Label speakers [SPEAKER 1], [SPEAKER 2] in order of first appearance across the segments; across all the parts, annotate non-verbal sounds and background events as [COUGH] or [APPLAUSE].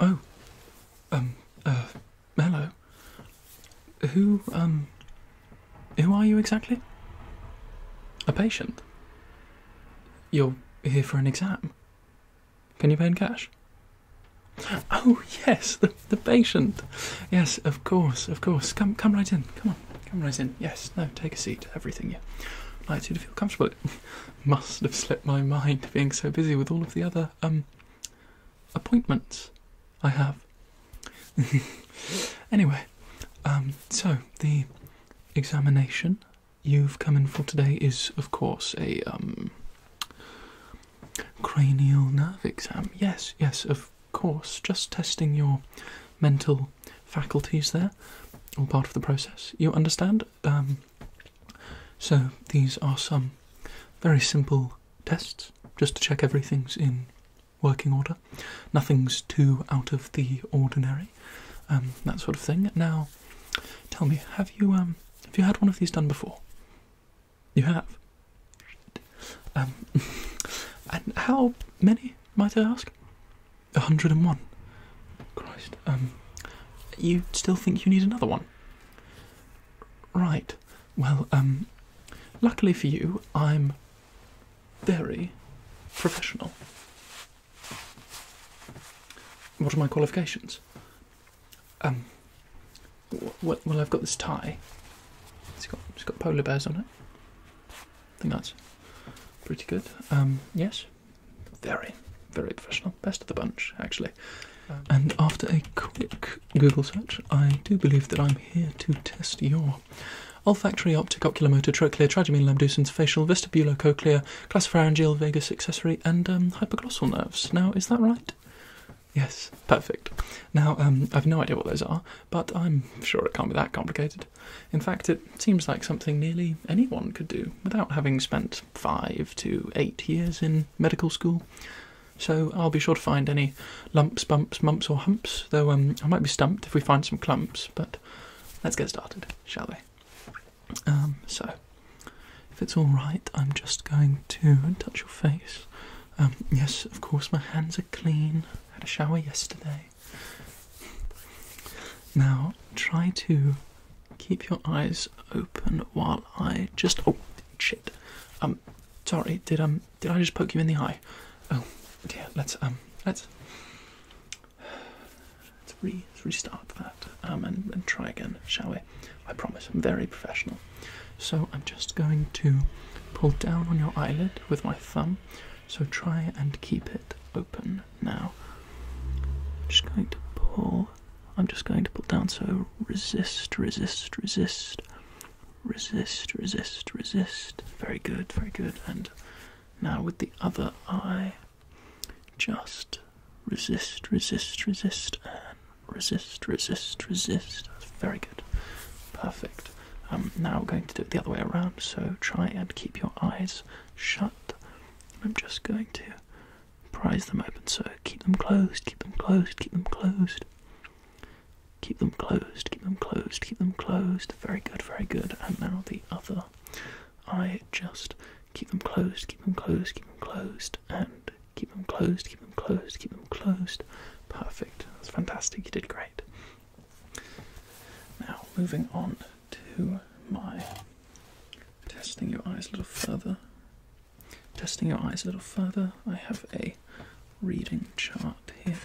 [SPEAKER 1] Oh, um, hello. Uh, who, um, who are you exactly? A patient? You're here for an exam? Can you pay in cash? Oh, yes, the, the patient. Yes, of course, of course. Come, come right in. Come on. Come right in. Yes, no, take a seat. Everything, yeah. I'd like to feel comfortable. [LAUGHS] must have slipped my mind [LAUGHS] being so busy with all of the other um appointments I have. [LAUGHS] anyway, um, so the examination you've come in for today is, of course, a um cranial nerve exam. Yes, yes, of course, just testing your mental faculties there, all part of the process. You understand? Um, so, these are some very simple tests just to check everything's in working order. Nothing's too out of the ordinary, um, that sort of thing. Now, tell me, have you um, have you had one of these done before? You have. Um, [LAUGHS] and how many might I ask? A hundred and one. Christ. Um, you still think you need another one? Right. Well, um, luckily for you, I'm very professional. What are my qualifications? Um, well, I've got this tie. It's got, it's got polar bears on it. I think that's pretty good. Um, yes, very, very professional. Best of the bunch, actually. Um, and after a quick Google search, I do believe that I'm here to test your olfactory, optic, ocular, motor, trochlear, trigeminal abducens, facial, vestibulo-cochlear, glossopharyngeal, vagus accessory, and um, hypoglossal nerves. Now, is that right? Yes, perfect. Now, um, I've no idea what those are, but I'm sure it can't be that complicated. In fact, it seems like something nearly anyone could do without having spent five to eight years in medical school. So I'll be sure to find any lumps, bumps, mumps, or humps, though um, I might be stumped if we find some clumps, but let's get started, shall we? Um, so, if it's alright, I'm just going to touch your face um, yes, of course, my hands are clean. I had a shower yesterday. Now, try to keep your eyes open while I just. Oh, shit. Um, sorry. Did um, did I just poke you in the eye? Oh, dear. Let's um, let's let's, re, restart that um and, and try again, shall we? I promise. I'm very professional. So I'm just going to pull down on your eyelid with my thumb. So try and keep it open now. I'm just going to pull. I'm just going to pull down. So resist, resist, resist, resist, resist, resist. Very good, very good. And now with the other eye, just resist, resist, resist, resist, resist, resist. That's very good. Perfect. Um, now we're going to do it the other way around, so try and keep your eyes shut. I'm just going to prise them open, so keep them closed, keep them closed, keep them closed. Keep them closed, keep them closed, keep them closed. Very good, very good. And now the other eye, just keep them closed, keep them closed, keep them closed, and Keep them closed, keep them closed, keep them closed. Perfect. That's fantastic. You did great. Now, moving on to my testing your eyes a little further. Testing your eyes a little further, I have a reading chart here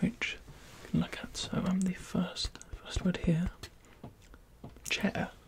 [SPEAKER 1] which you can look at. So, I'm um, the first, first word here chair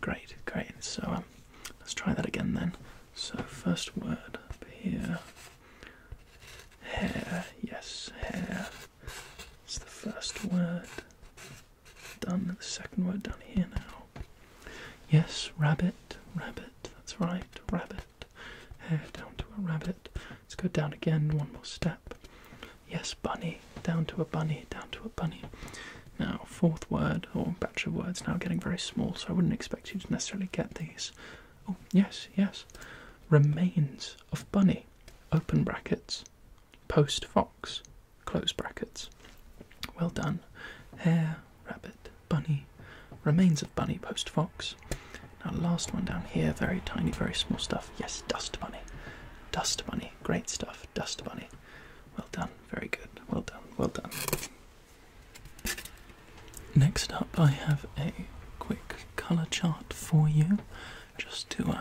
[SPEAKER 1] Great, great. So um, let's try that again then. So first word here. Hair, yes, hair. It's the first word. Done. The second word done here now. Yes, rabbit, rabbit. That's right, rabbit. Hair down to a rabbit. Let's go down again. One more step. Yes, bunny. Down to a bunny. Down to a bunny. Now, fourth word or batch of words now getting very small, so I wouldn't expect you to necessarily get these. Oh, yes, yes. Remains of bunny. Open brackets. Post fox. Close brackets. Well done. Hare, rabbit, bunny. Remains of bunny, post fox. Now, last one down here, very tiny, very small stuff. Yes, dust bunny. Dust bunny. Great stuff, Dust Bunny. Well done, very good. Well done, well done. Next up, I have a quick colour chart for you just to uh,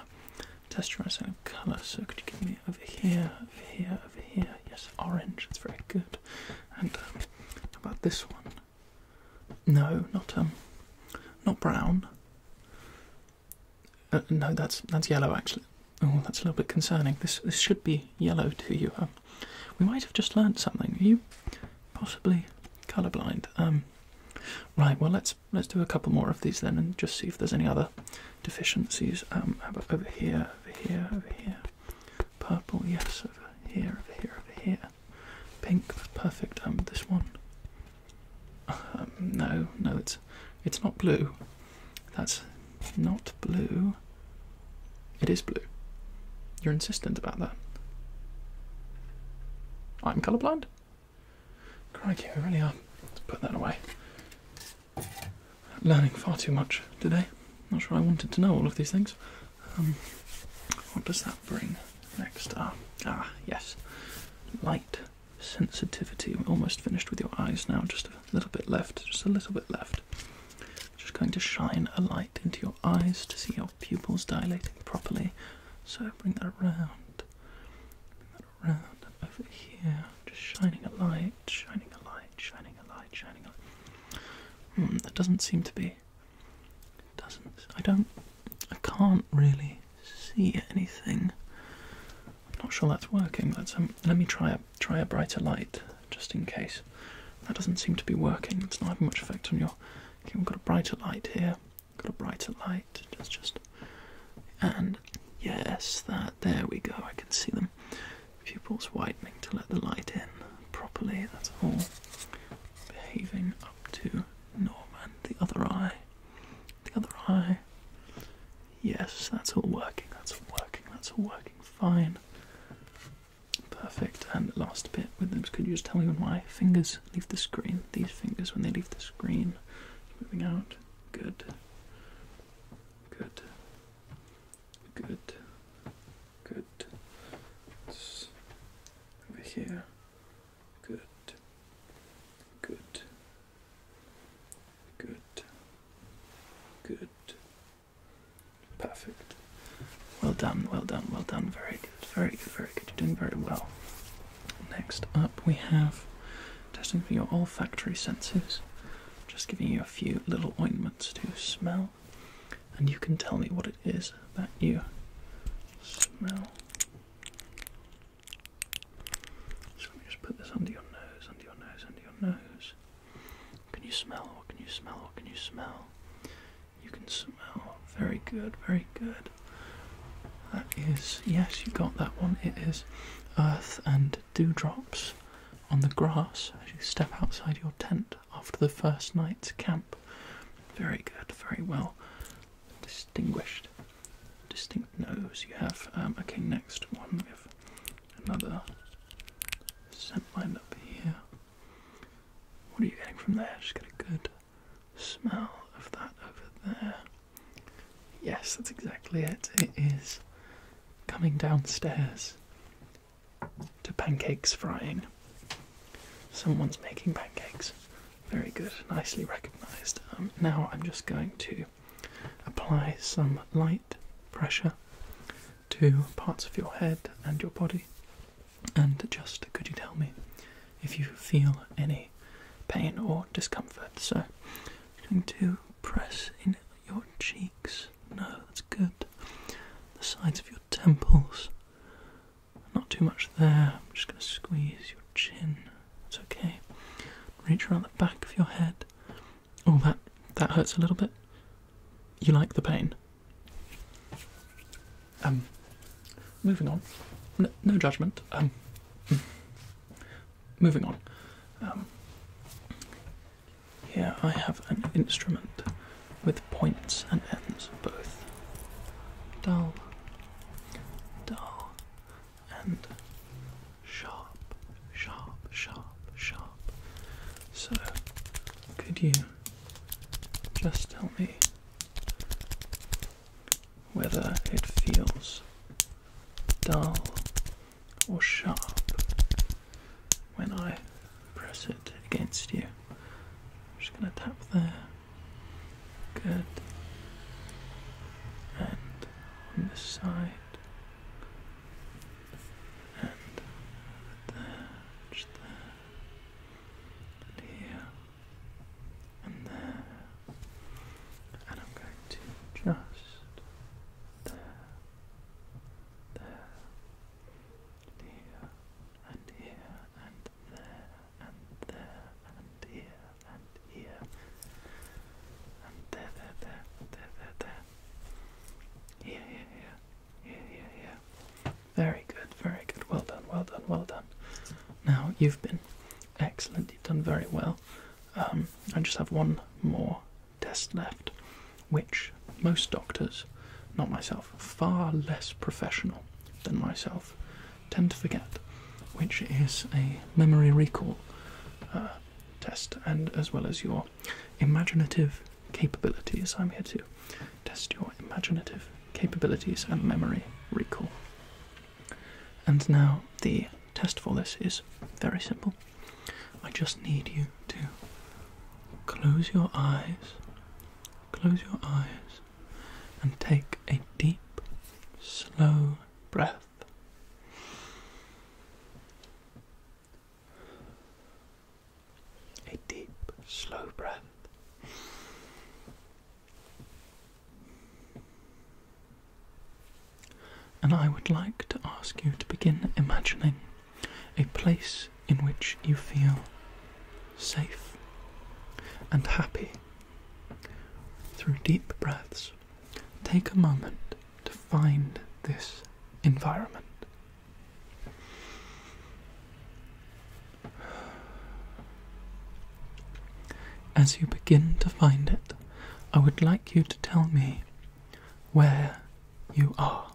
[SPEAKER 1] test your eyes on colour. So, could you give me over here, over here, over here? Yes, orange, It's very good. And um, how about this one? No, not um, not brown. Uh, no, that's that's yellow actually. Oh, that's a little bit concerning. This this should be yellow to you. Um, we might have just learnt something. you possibly colourblind. Um, right. Well, let's let's do a couple more of these then, and just see if there's any other deficiencies. Um, over here, over here, over here. Purple, yes. Over here, over here, over here. Pink, perfect. Um, this one. Um, no, no, it's it's not blue. That's not blue. It is blue. You're insistent about that. I'm colourblind? Crikey, we really are. Let's put that away. Learning far too much today. Not sure I wanted to know all of these things. Um, what does that bring? next are ah, ah yes, light sensitivity. We're almost finished with your eyes now. Just a little bit left. Just a little bit left. Just going to shine a light into your eyes to see your pupils dilating properly. So bring that around. Bring that around over here. Just shining a light, shining a light, shining a light, shining a light. Hmm, that doesn't seem to be doesn't. I don't. I can't really see anything. I'm not sure that's working. Let's um, let me try a try a brighter light just in case. That doesn't seem to be working. It's not having much effect on your. Okay, we've got a brighter light here. Got a brighter light. Just just. And yes, that there we go. I can see them. Pupils widening to let the light in properly. That's all behaving up to Norman, the other eye. The other eye. Yes, that's all working, that's all working, that's all working fine. Perfect. And the last bit with them, could you just tell me when my fingers leave the screen? These fingers, when they leave the screen, moving out. Good. Good. Good. Good. over here. Good. Good. Good. Good. Perfect. Well done, well done, well done. Very good, very good, very good. You're doing very well. Next up, we have testing for your olfactory senses. Just giving you a few little ointments to smell and you can tell me what it is that you smell. let me just put this under your nose, under your nose, under your nose. Can you smell? can you smell? can you smell? You can smell. Very good, very good. That is, yes, you got that one. It is earth and dewdrops on the grass as you step outside your tent after the first night's camp. Very good, very well distinguished. Distinct nose. You have okay. Um, next one, we have another scent line up here. What are you getting from there? Just get a good smell of that over there. Yes, that's exactly it. It is coming downstairs to pancakes frying. Someone's making pancakes. Very good, nicely recognized. Um, now I'm just going to apply some light pressure to parts of your head and your body. And just could you tell me if you feel any pain or discomfort? So I'm going to press in your cheeks. No, that's good. The sides of your temples. Not too much there. I'm just going to squeeze your chin. It's okay. Reach around the back of your head. Oh, that that hurts a little bit. You like the pain? Um, moving on. No, judgment. Um, mm. moving on. Um, here I have an instrument with points and ends both. Dull, dull, and sharp, sharp, sharp, sharp. So, could you just tell me whether it feels dull or sharp when I press it against you. I'm just going to tap there. Good. And on this side. And there, just there. And here. And there. And I'm going to just there. There here, and here, and there, and there, and here, and here, and there, there, there, there, there, there. Here, here, here, here, here, here. Very good, very good. Well done, well done, well done. Now you've been excellent. You've done very well. Um, I just have one more test left, which most doctors, not myself, far less professional than myself, tend to forget, which is a memory recall uh, test, and as well as your imaginative capabilities. I'm here to test your imaginative capabilities and memory recall. And now the test for this is very simple. I just need you to close your eyes, close your eyes, and take a deep, slow breath. A deep, slow breath and I would like to ask you to begin imagining a place in which you feel safe and happy. Through deep breaths, take a moment to find this environment. As you begin to find it, I would like you to tell me where you are.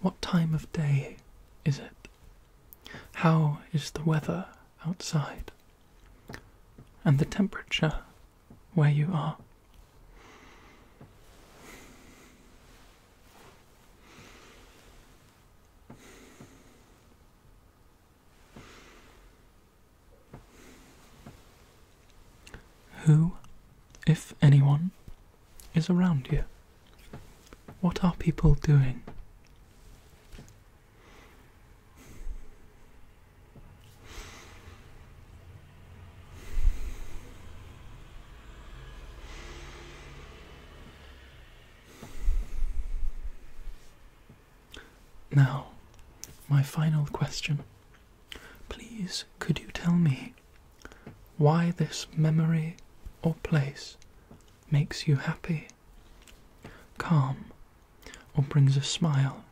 [SPEAKER 1] What time of day is it? How is the weather outside? And the temperature where you are? Who, if anyone, is around here? What are people doing? Now, my final question Please, could you tell me why this memory or place makes you happy, calm, or brings a smile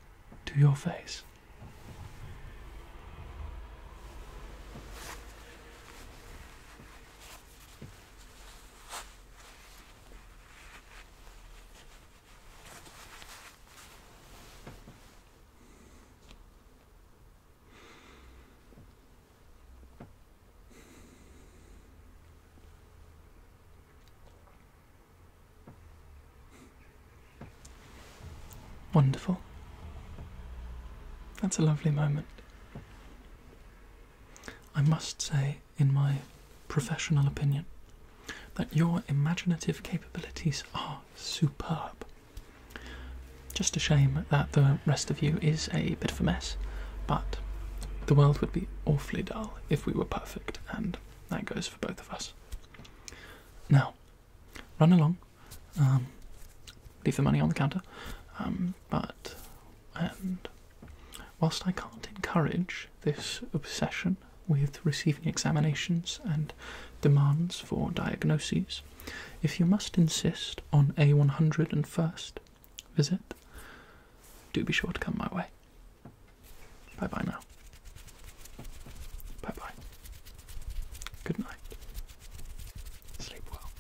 [SPEAKER 1] to your face? Wonderful. That's a lovely moment. I must say, in my professional opinion, that your imaginative capabilities are superb. Just a shame that the rest of you is a bit of a mess, but the world would be awfully dull if we were perfect, and that goes for both of us. Now, run along, um, leave the money on the counter, um, but, and whilst I can't encourage this obsession with receiving examinations and demands for diagnoses. If you must insist on a 101st visit, do be sure to come my way. Bye bye now. Bye bye. Good night. Sleep well.